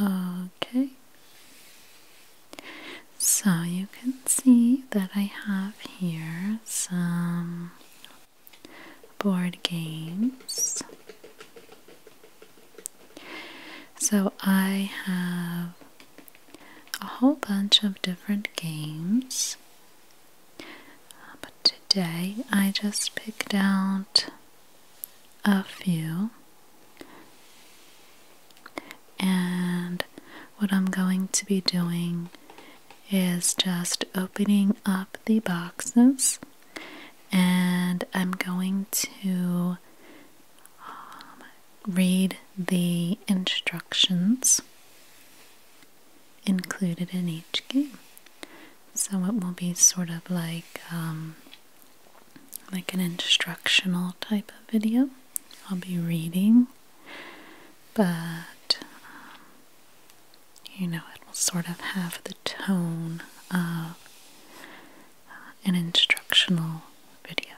Okay, so you can see that I have here some board games. So I have a whole bunch of different games, but today I just picked out a few. And what I'm going to be doing is just opening up the boxes and I'm going to um, read the instructions included in each game. So it will be sort of like um, like an instructional type of video. I'll be reading, but um, you know, it will sort of have the tone of an instructional video.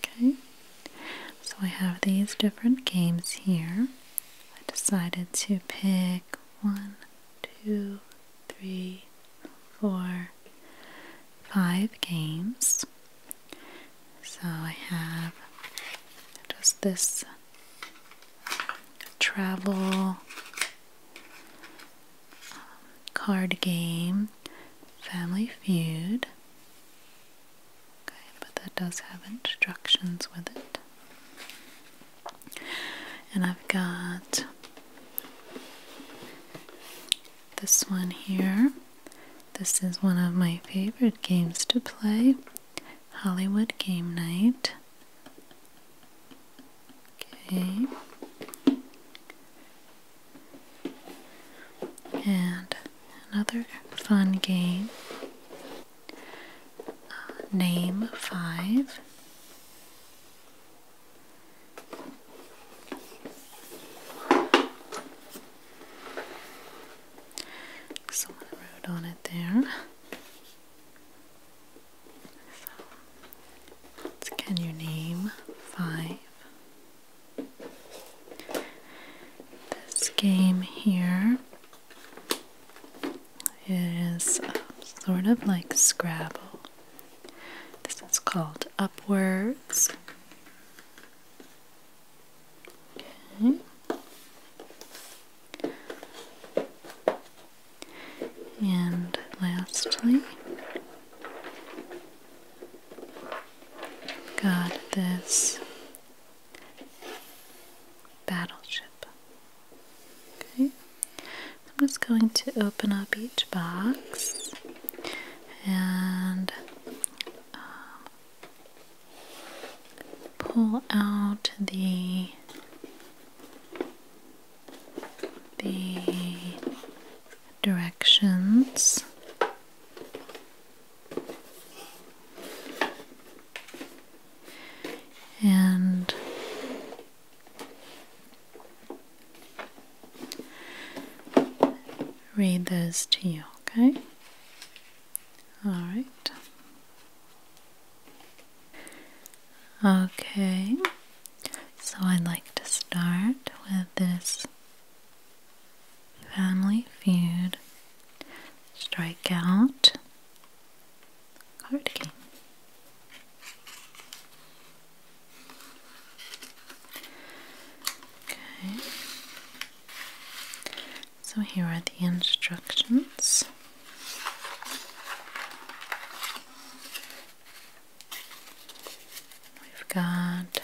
Okay, so I have these different games here. I decided to pick one, two, three, four, five games. So I have just this travel um, card game, Family Feud. Okay, but that does have instructions with it. And I've got this one here. This is one of my favorite games to play Hollywood Game Night. Okay. And another fun game. Uh, name five. Someone wrote on it there. can you name five? This game here is uh, sort of like Scrabble. This is called Upwards. Okay. And lastly, got this battleship. Okay, I'm just going to open up each box and um, pull out the the directions. And read those to you, okay? All right. Okay, so I'd like to start with this family feud strikeout correctly. Okay. So here are the instructions. We've got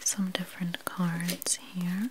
some different cards here.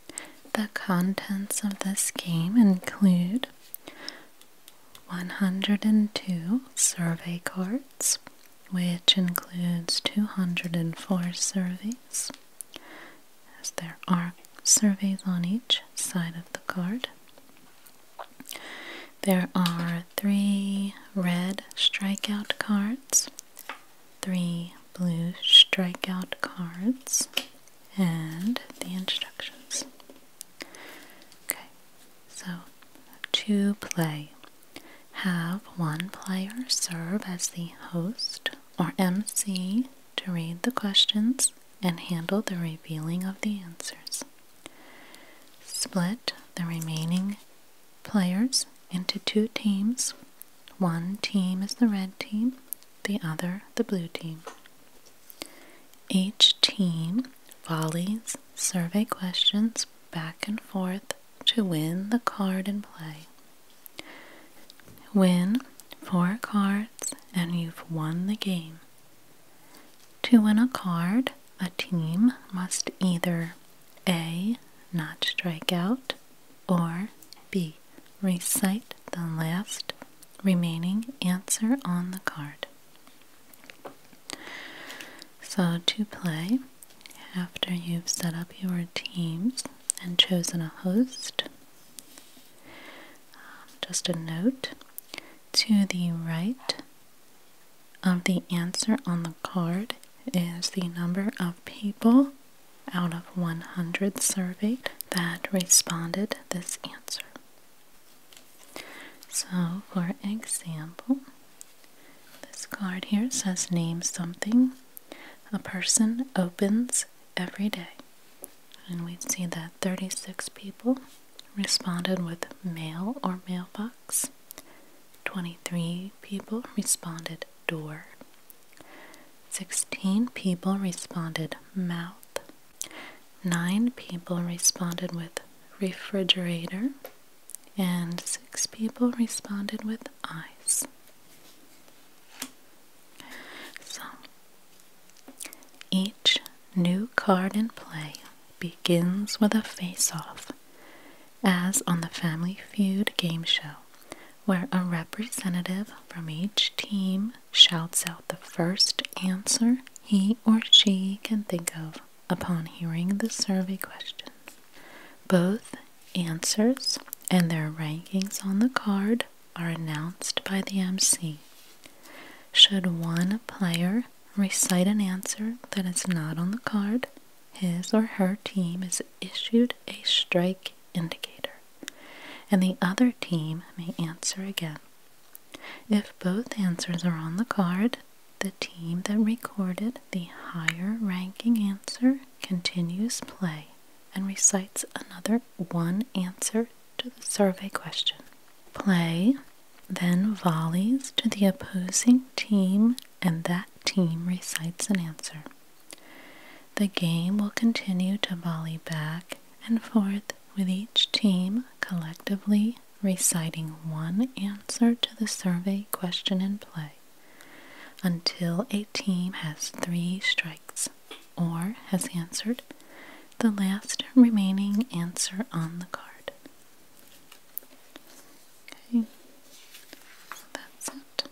the contents of this game include 102 survey cards, which includes 204 surveys, as there are surveys on each side of the card. There are three red strikeout cards, three blue strikeout cards, and the instructions. Okay, so to play, have one player serve as the host or MC to read the questions and handle the revealing of the answers. Split the remaining players into two teams one team is the red team, the other the blue team. Each team volleys survey questions back and forth to win the card in play. Win four cards and you've won the game. To win a card, a team must either A. Not strike out, or B. Recite the last remaining answer on the card. So, to play, after you've set up your teams and chosen a host, um, just a note to the right of the answer on the card is the number of people out of 100 surveyed that responded this answer. So, for example, this card here says name something a person opens every day. And we see that 36 people responded with mail or mailbox. 23 people responded door. 16 people responded mouth. 9 people responded with refrigerator. And 6 people responded with eyes. So, each new card in play begins with a face off, as on the Family Feud game show where a representative from each team shouts out the first answer he or she can think of upon hearing the survey questions, Both answers and their rankings on the card are announced by the MC. Should one player recite an answer that is not on the card, his or her team is issued a strike indicator, and the other team may answer again. If both answers are on the card, the team that recorded the higher ranking answer continues play and recites another one answer to the survey question. Play then volleys to the opposing team, and that team recites an answer. The game will continue to volley back and forth with each team collectively reciting one answer to the survey question in play until a team has three strikes or has answered the last remaining answer on the card. Okay, so that's it. A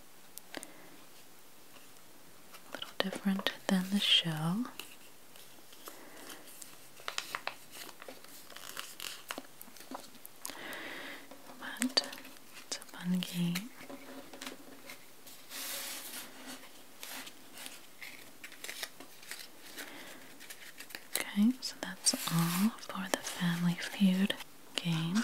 little different than the shell. But it's a fun game. Okay, so that's all for the Family Feud game.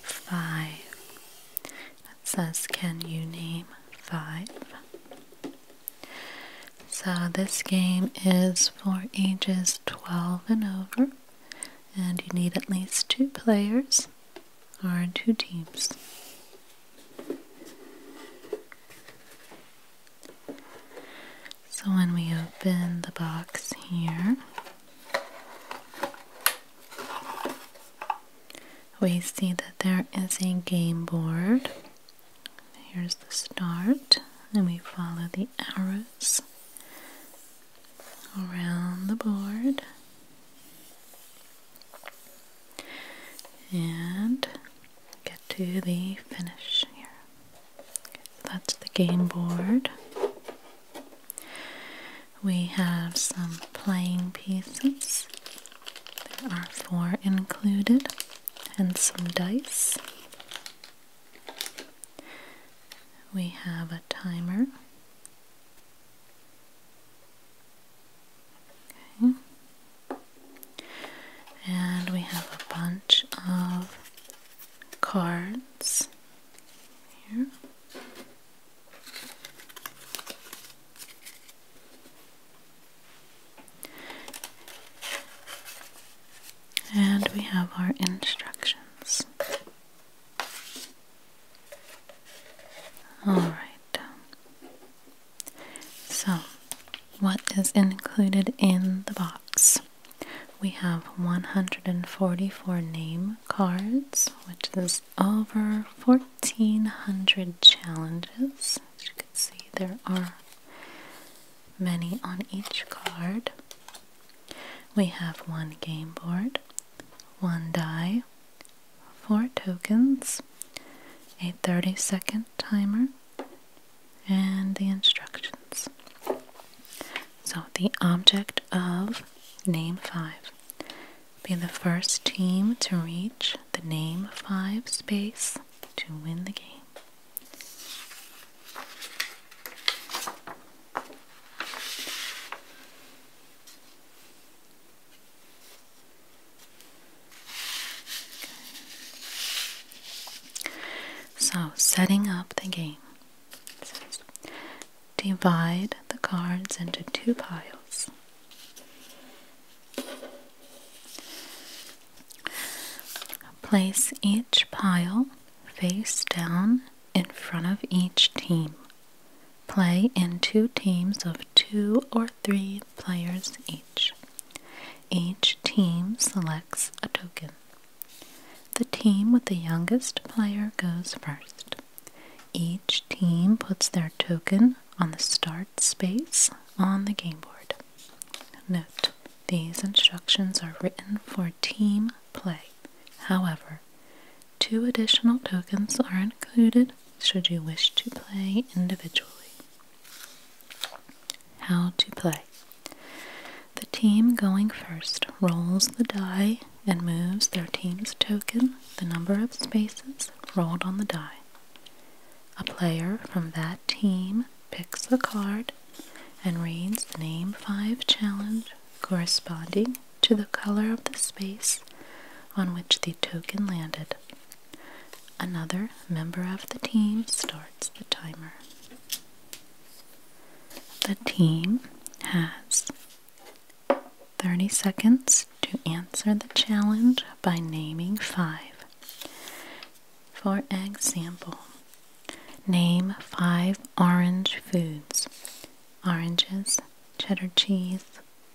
five. It says, Can you name five? So, this game is for ages 12 and over, and you need at least two players or two teams. So when we open the box here, we see that there is a game board. Here's the start, and we follow the arrows around the board. And get to the finish here that's the game board. We have some playing pieces. There are four included, and some dice. We have a timer. And we have a bunch of cards here. And we have our instructions. Alright. So, what is included in the box? we have 144 name cards, which is over 1400 challenges. As you can see, there are many on each card. We have one game board, one die, four tokens, a 30 second timer, and the instructions. So, the object of Name 5 be the first team to reach the Name 5 space to win the game. So, setting up the game divide the cards into two piles. Place each pile face down in front of each team. Play in two teams of two or three players each. Each team selects a token. The team with the youngest player goes first. Each team puts their token on the start space on the game board. Note, these instructions are written for team play. However, two additional tokens are included should you wish to play individually. How to play. The team going first rolls the die and moves their team's token the number of spaces rolled on the die. A player from that team picks a card and reads the name 5 challenge corresponding to the color of the space on which the token landed. Another member of the team starts the timer. The team has 30 seconds to answer the challenge by naming five. For example, name five orange foods oranges, cheddar cheese,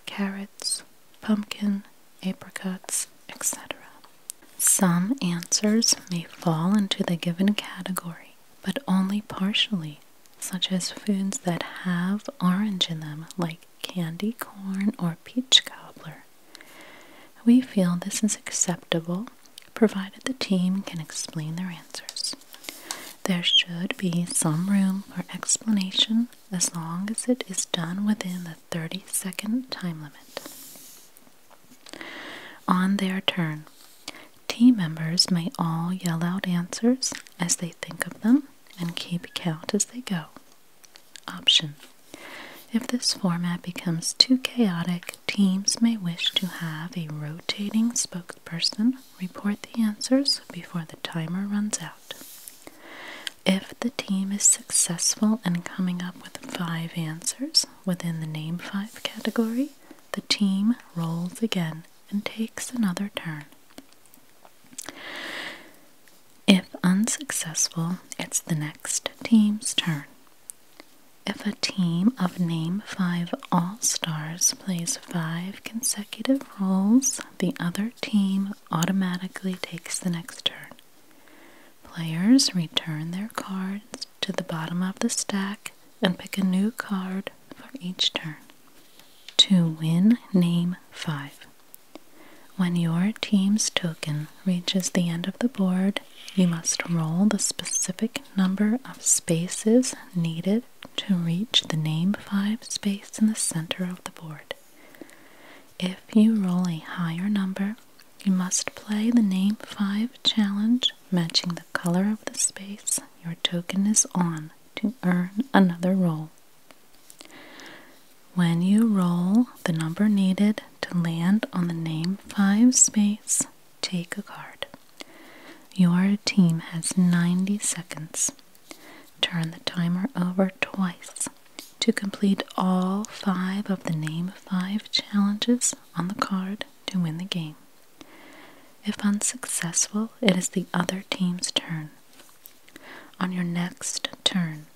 carrots, pumpkin, apricots, etc. Some answers may fall into the given category, but only partially, such as foods that have orange in them, like candy corn or peach cobbler. We feel this is acceptable provided the team can explain their answers. There should be some room for explanation as long as it is done within the 30 second time limit. On their turn, team members may all yell out answers as they think of them and keep count as they go. Option If this format becomes too chaotic, teams may wish to have a rotating spokesperson report the answers before the timer runs out. If the team is successful in coming up with five answers within the Name 5 category, the team rolls again and takes another turn. If unsuccessful, it's the next team's turn. If a team of Name 5 All Stars plays five consecutive rolls, the other team automatically takes the next turn. Players return their cards to the bottom of the stack and pick a new card for each turn. To win, name 5. When your team's token reaches the end of the board, you must roll the specific number of spaces needed to reach the name 5 space in the center of the board. If you roll a higher number, you must play the name 5 challenge, matching the color of the space your token is on to earn another roll. When you roll the number needed to land on the name 5 space, take a card. Your team has 90 seconds. Turn the timer over twice to complete all five of the name 5 challenges on the card to win the game. If unsuccessful, it is the other team's turn. On your next turn,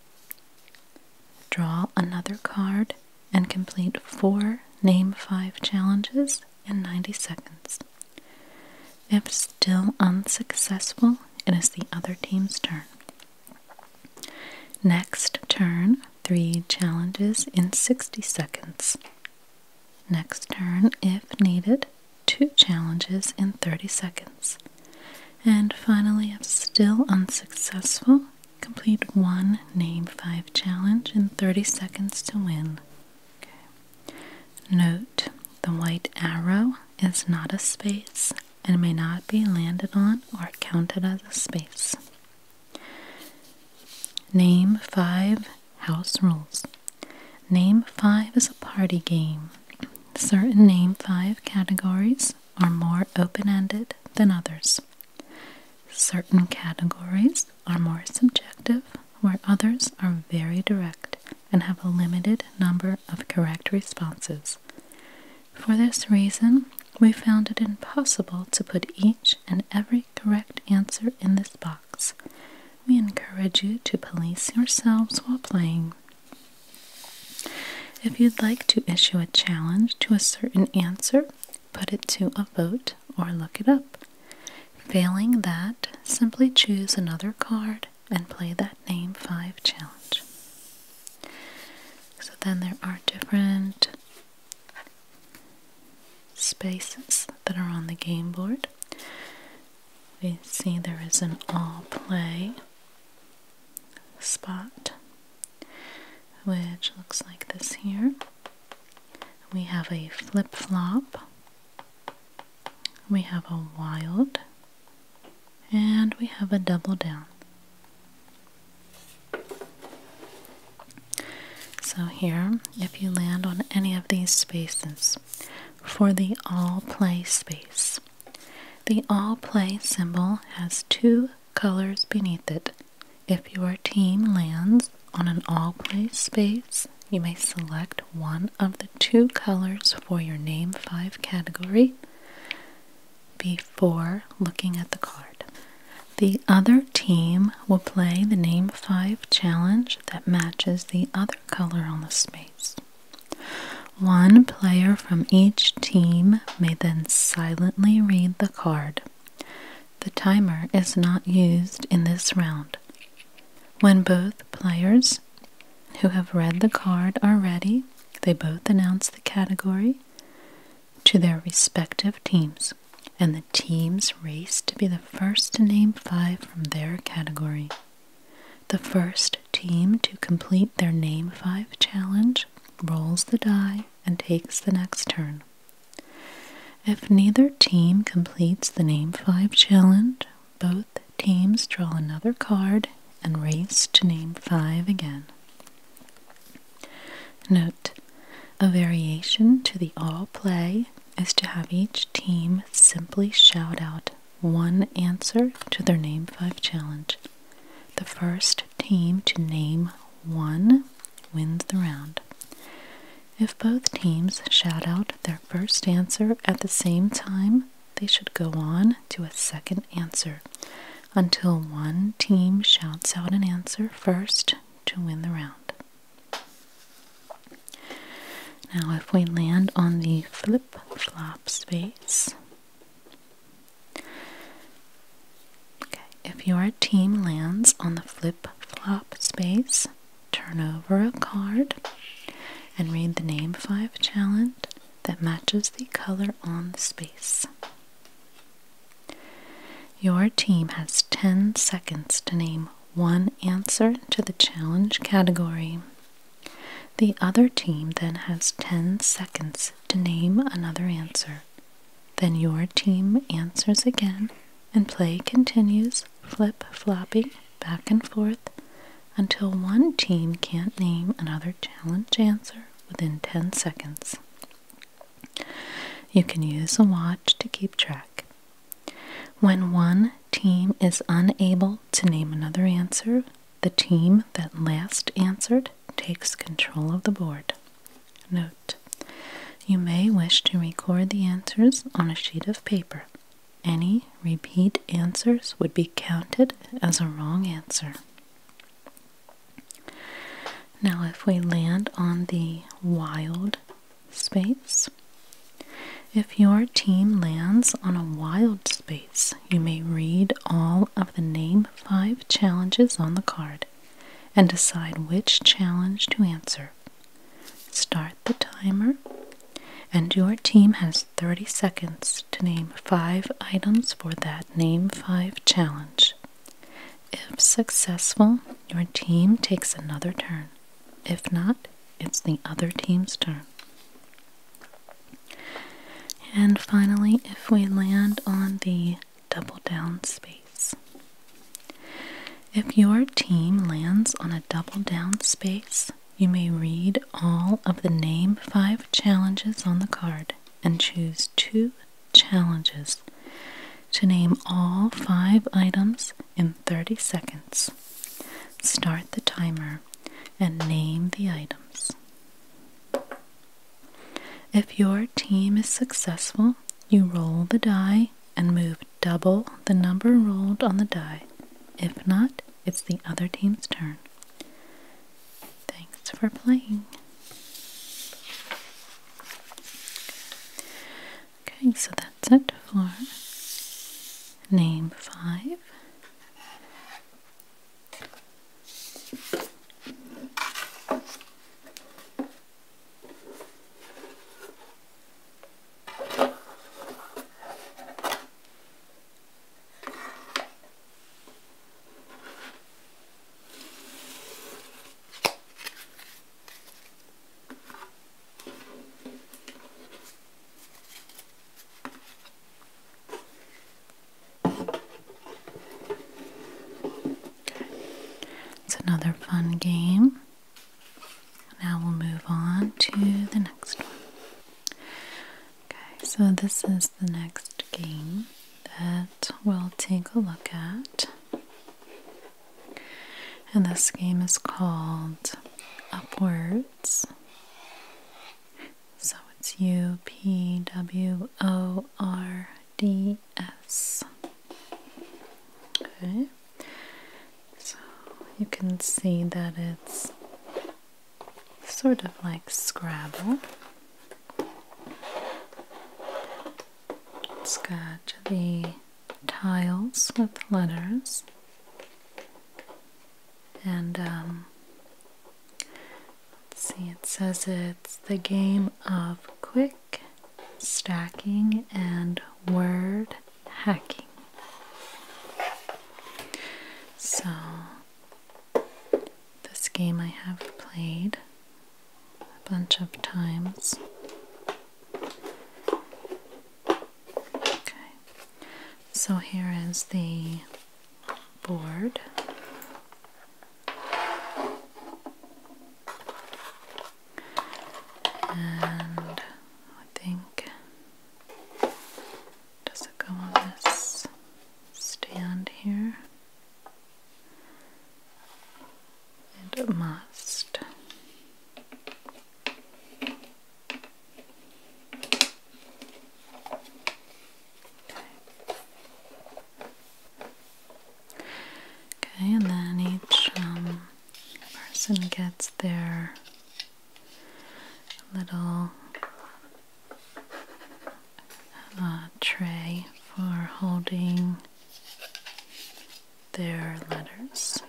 draw another card and complete four Name 5 challenges in 90 seconds. If still unsuccessful, it is the other team's turn. Next turn, three challenges in 60 seconds. Next turn, if needed, two challenges in 30 seconds. And finally, if still unsuccessful, complete one name five challenge in 30 seconds to win. Note the white arrow is not a space and may not be landed on or counted as a space. Name five house rules. Name five is a party game. Certain name five categories are more open ended than others. Certain categories are more subjective, where others are very direct and have a limited number of correct responses. For this reason, we found it impossible to put each and every correct answer in this box. We encourage you to police yourselves while playing. If you'd like to issue a challenge to a certain answer, put it to a vote or look it up. Failing that, simply choose another card and play that Name 5 challenge. So then there are different spaces that are on the game board. We see there is an all play spot, which looks like this here. We have a flip flop, we have a wild, and we have a double down. So, here, if you land on any of these spaces, for the all play space, the all play symbol has two colors beneath it. If your team lands on an all play space, you may select one of the two colors for your Name 5 category before looking at the card. The other team will play the name 5 challenge that matches the other color on the space. One player from each team may then silently read the card. The timer is not used in this round. When both players who have read the card are ready, they both announce the category to their respective teams, and the teams race to be the first to name five from their category. The first team to complete their Name 5 challenge rolls the die and takes the next turn. If neither team completes the Name 5 challenge, both teams draw another card and race to name 5 again. Note a variation to the all play is to have each team simply shout out one answer to their Name 5 challenge. The first team to name one wins the round. If both teams shout out their first answer at the same time, they should go on to a second answer until one team shouts out an answer first to win the round. Now, if we land on the flip flop space, okay, if your team lands on the flip flop space, turn over a card and read the name five challenge that matches the color on the space. Your team has 10 seconds to name one answer to the challenge category. The other team then has 10 seconds to name another answer. Then your team answers again, and play continues, flip flopping back and forth until one team can't name another challenge answer within 10 seconds. You can use a watch to keep track. When one team is unable to name another answer, the team that last answered takes control of the board. Note You may wish to record the answers on a sheet of paper. Any repeat answers would be counted as a wrong answer. Now, if we land on the wild space, if your team lands on a wild space, you may read all of the name five challenges on the card and decide which challenge to answer. Start the timer, and your team has 30 seconds to name five items for that name five challenge. If successful, your team takes another turn. If not, it's the other team's turn. And finally, if we land on the double down space, if your team lands on a double down space, you may read all of the name five challenges on the card and choose two challenges to name all five items in 30 seconds. Start the timer and name the items. If your team is successful, you roll the die and move double the number rolled on the die. If not, it's the other team's turn. Thanks for playing. Okay, so that's it for name five. It's another fun game. Now we'll move on to the next one. Okay, so this is the next game that we'll take a look at. And this game is called Upwards. So it's U P W O R D S. Okay. So you can see that it's sort of like Scrabble. It's got the tiles with letters and um, let's see it says it's the game of quick stacking and word hacking so this game I have played a bunch of times. Okay, so here is the board. And I think does it go on this stand here? and must. Okay, and then each um, person gets their little uh, tray for holding their letters.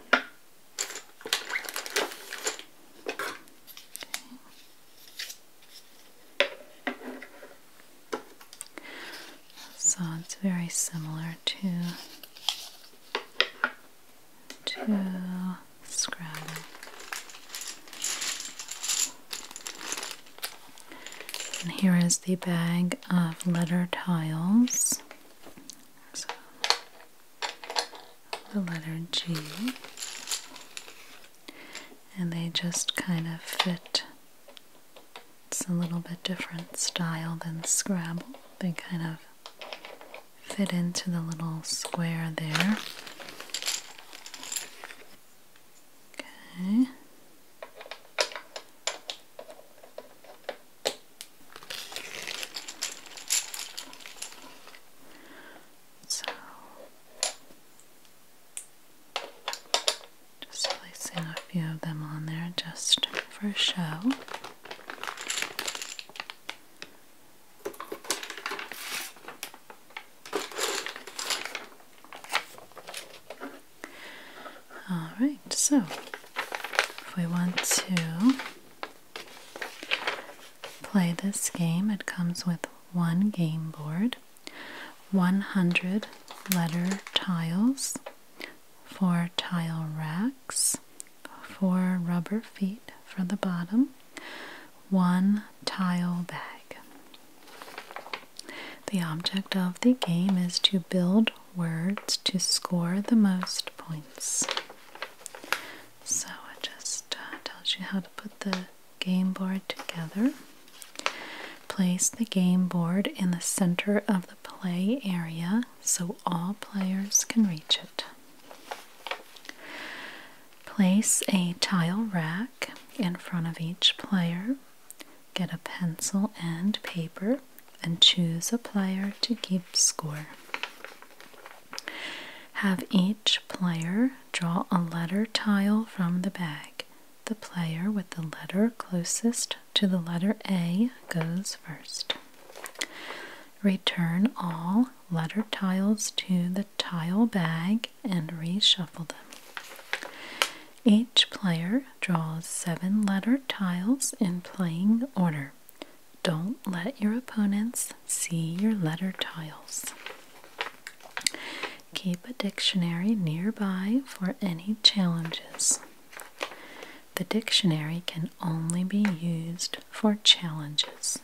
So it's very similar to to Scrabble. And here is the bag of letter tiles. So, the letter G. And they just kind of fit. It's a little bit different style than Scrabble. They kind of fit into the little square there. Okay. So just placing a few of them on there just for show. All right, so if we want to play this game, it comes with one game board, 100 letter tiles, four tile racks, four rubber feet for the bottom, one tile bag. The object of the game is to build words to score the most points. So it just uh, tells you how to put the game board together. Place the game board in the center of the play area so all players can reach it. Place a tile rack in front of each player Get a pencil and paper and choose a player to keep score. Have each player draw a letter tile from the bag. The player with the letter closest to the letter A goes first. Return all letter tiles to the tile bag and reshuffle them. Each player player draws seven letter tiles in playing order. Don't let your opponents see your letter tiles. Keep a dictionary nearby for any challenges. The dictionary can only be used for challenges.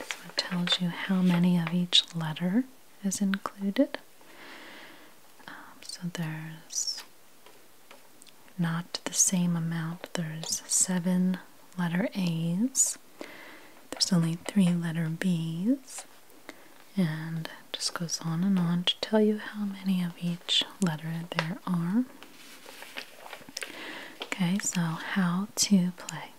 it tells you how many of each letter is included. Um, so there's not the same amount. There's seven letter A's, there's only three letter B's, and it just goes on and on to tell you how many of each letter there are. Okay, so how to play.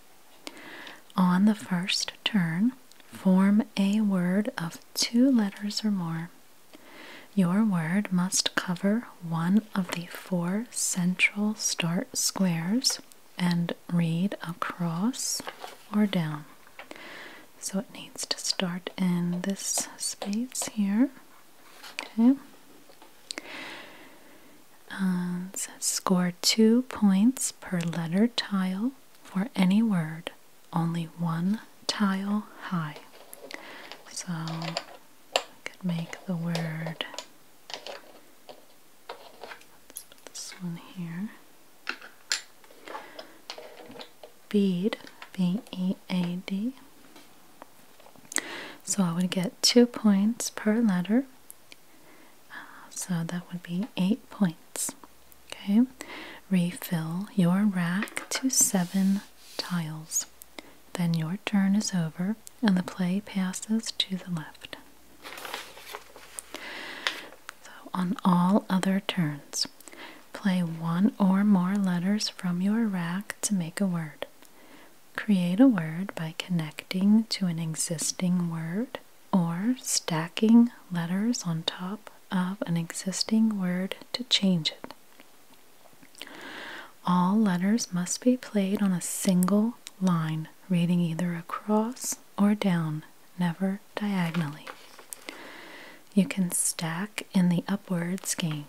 On the first turn, form a word of two letters or more. Your word must cover one of the four central start squares and read across or down. So it needs to start in this space here. Okay. Uh, score two points per letter tile for any word only one tile high. So I could make the word, this one here, bead, B-E-A-D. So I would get two points per letter, uh, so that would be eight points. Okay, refill your rack to seven tiles. Then your turn is over and the play passes to the left. So, on all other turns, play one or more letters from your rack to make a word. Create a word by connecting to an existing word or stacking letters on top of an existing word to change it. All letters must be played on a single line, reading either across or down, never diagonally. You can stack in the upwards game.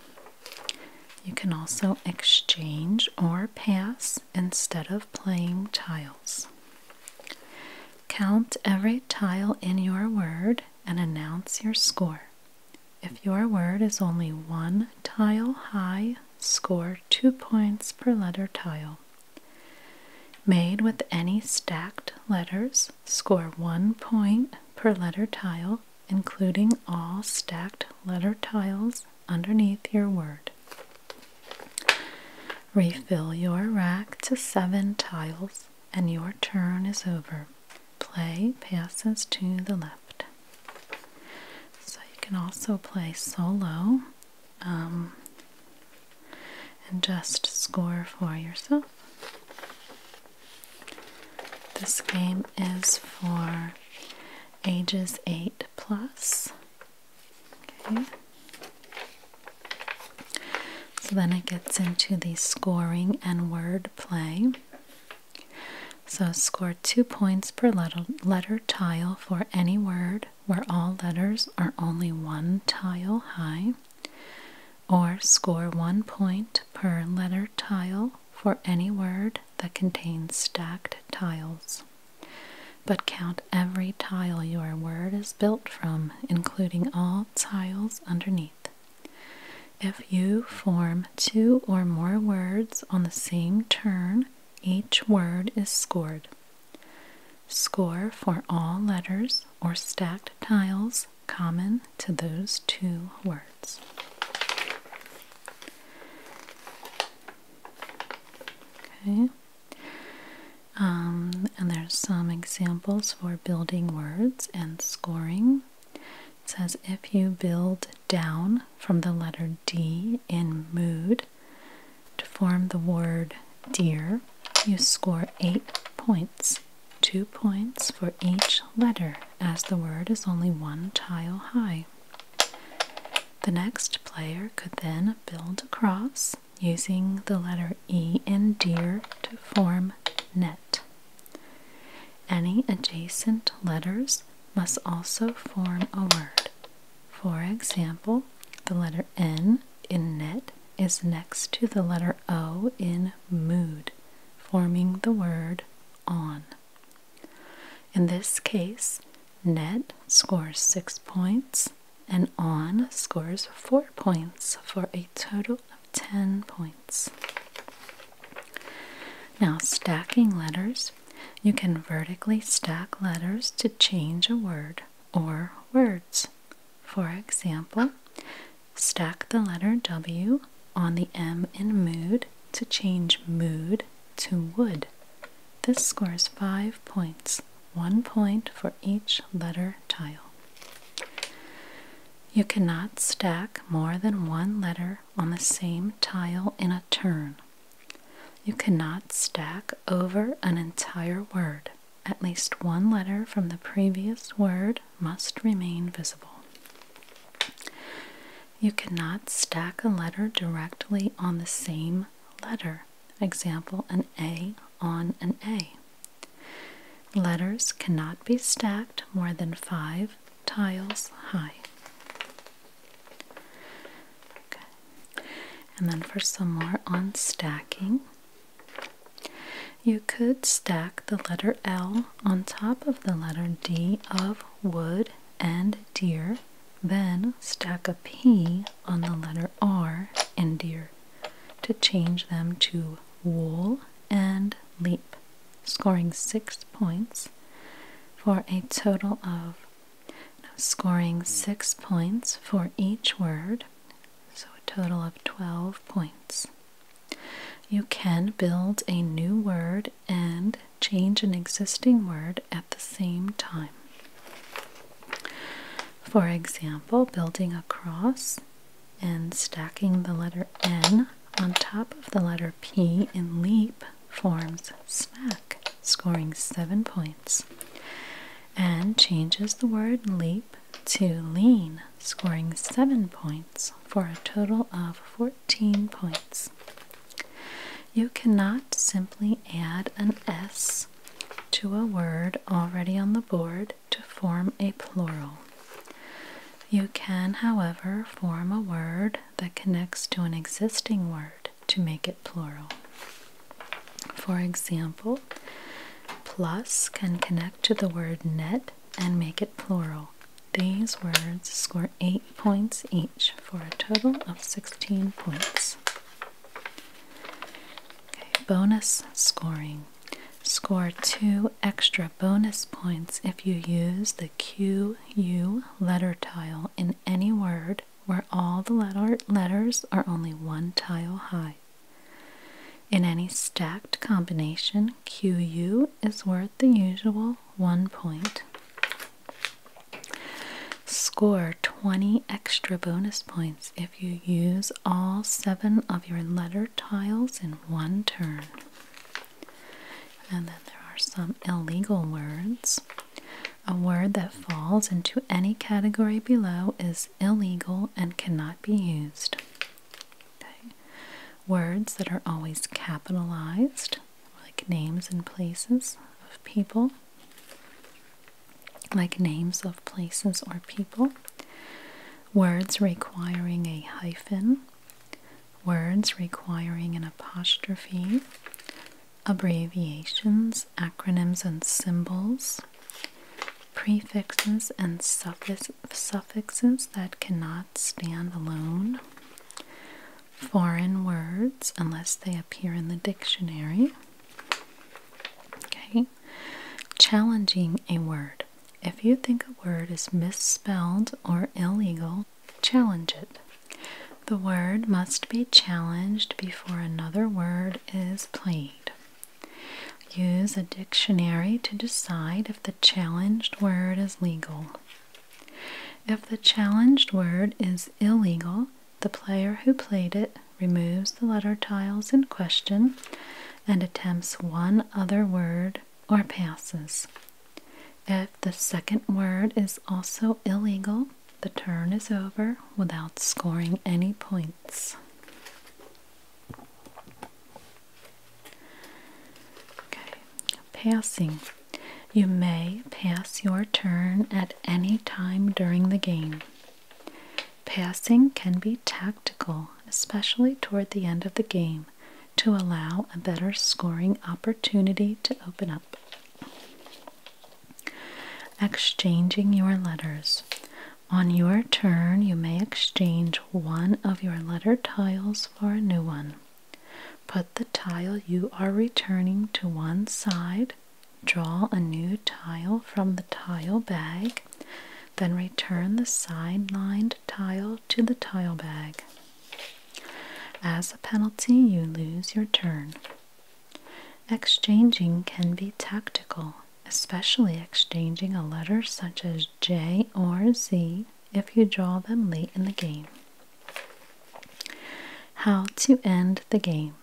You can also exchange or pass instead of playing tiles. Count every tile in your word and announce your score. If your word is only one tile high, score two points per letter tile. Made with any stacked letters, score one point per letter tile, including all stacked letter tiles underneath your word. Refill your rack to seven tiles and your turn is over. Play passes to the left. So you can also play solo um, and just score for yourself. This game is for ages 8 plus so then it gets into the scoring and word play. So score two points per letter tile for any word where all letters are only one tile high, or score one point per letter tile for any word that contains stacked tiles but count every tile your word is built from, including all tiles underneath. If you form two or more words on the same turn, each word is scored. Score for all letters or stacked tiles common to those two words. Okay. Um, and there's some examples for building words and scoring. It says if you build down from the letter D in mood to form the word dear, you score eight points. Two points for each letter, as the word is only one tile high. The next player could then build across using the letter E in "dear" to form net. Any adjacent letters must also form a word. For example, the letter N in net is next to the letter O in mood, forming the word on. In this case, net scores 6 points and on scores 4 points for a total of 10 points. Now, stacking letters. You can vertically stack letters to change a word or words. For example, stack the letter W on the M in mood to change mood to wood. This scores 5 points one point for each letter tile. You cannot stack more than one letter on the same tile in a turn. You cannot stack over an entire word. At least one letter from the previous word must remain visible. You cannot stack a letter directly on the same letter. Example, an A on an A. Letters cannot be stacked more than five tiles high. And then for some more on stacking, you could stack the letter L on top of the letter D of wood and deer, then stack a P on the letter R in deer to change them to Wool and Leap, scoring six points for a total of scoring six points for each word, so a total of 12 points. You can build a new word and change an existing word at the same time. For example, building a cross and stacking the letter N on top of the letter P in leap forms smack, scoring seven points, and changes the word leap to lean, scoring seven points for a total of 14 points. You cannot simply add an S to a word already on the board to form a plural. You can, however, form a word that connects to an existing word to make it plural. For example, plus can connect to the word net and make it plural. These words score 8 points each for a total of 16 points. Okay, bonus scoring. Score two extra bonus points if you use the QU letter tile in any word where all the letter letters are only one tile high. In any stacked combination, QU is worth the usual one point score 20 extra bonus points if you use all seven of your letter tiles in one turn. And then there are some illegal words. A word that falls into any category below is illegal and cannot be used. Okay. Words that are always capitalized, like names and places of people like names of places or people, words requiring a hyphen, words requiring an apostrophe, abbreviations, acronyms, and symbols, prefixes and suffixes that cannot stand alone. Foreign words, unless they appear in the dictionary. Okay, Challenging a word. If you think a word is misspelled or illegal, challenge it. The word must be challenged before another word is played. Use a dictionary to decide if the challenged word is legal. If the challenged word is illegal, the player who played it removes the letter tiles in question and attempts one other word or passes. If the second word is also illegal, the turn is over without scoring any points. Okay, passing. You may pass your turn at any time during the game. Passing can be tactical, especially toward the end of the game, to allow a better scoring opportunity to open up. Exchanging your letters. On your turn, you may exchange one of your letter tiles for a new one. Put the tile you are returning to one side Draw a new tile from the tile bag, then return the side-lined tile to the tile bag. As a penalty, you lose your turn. Exchanging can be tactical, especially exchanging a letter such as J or Z if you draw them late in the game. How to end the game.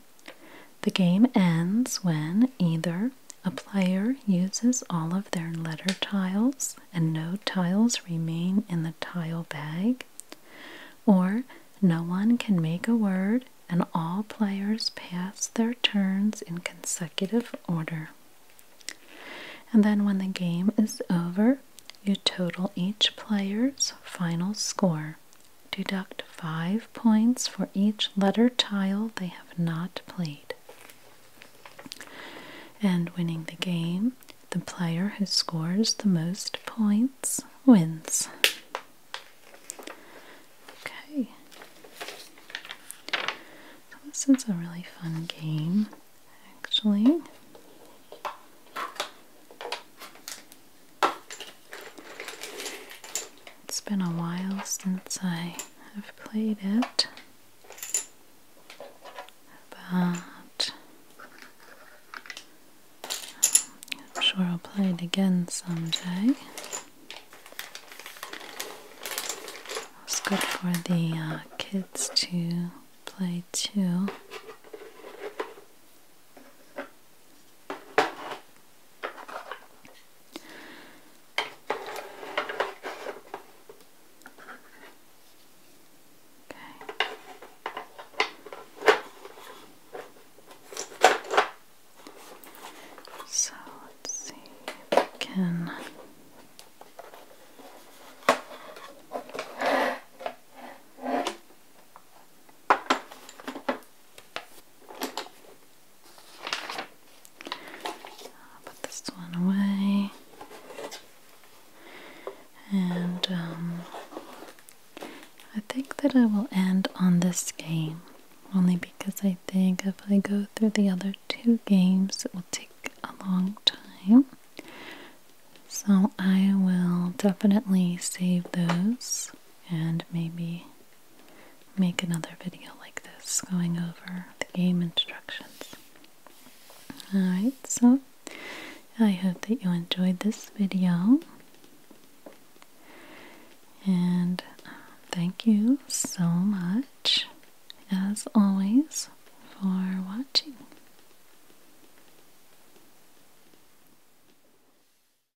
The game ends when either a player uses all of their letter tiles and no tiles remain in the tile bag, or no one can make a word and all players pass their turns in consecutive order. And then when the game is over, you total each player's final score Deduct 5 points for each letter tile they have not played. And winning the game, the player who scores the most points wins. Okay. this is a really fun game, actually. It's been a while since I have played it, but I'm sure I'll play it again someday. It's good for the uh, kids to play too. So let's see if I can. I'll put this one away. And um, I think that I will end on this game only because I think if I go through the other two games, it will take a long time. So I will definitely save those and maybe make another video like this going over the game instructions. Alright, so I hope that you enjoyed this video. And um, thank you so much, as always, for watching.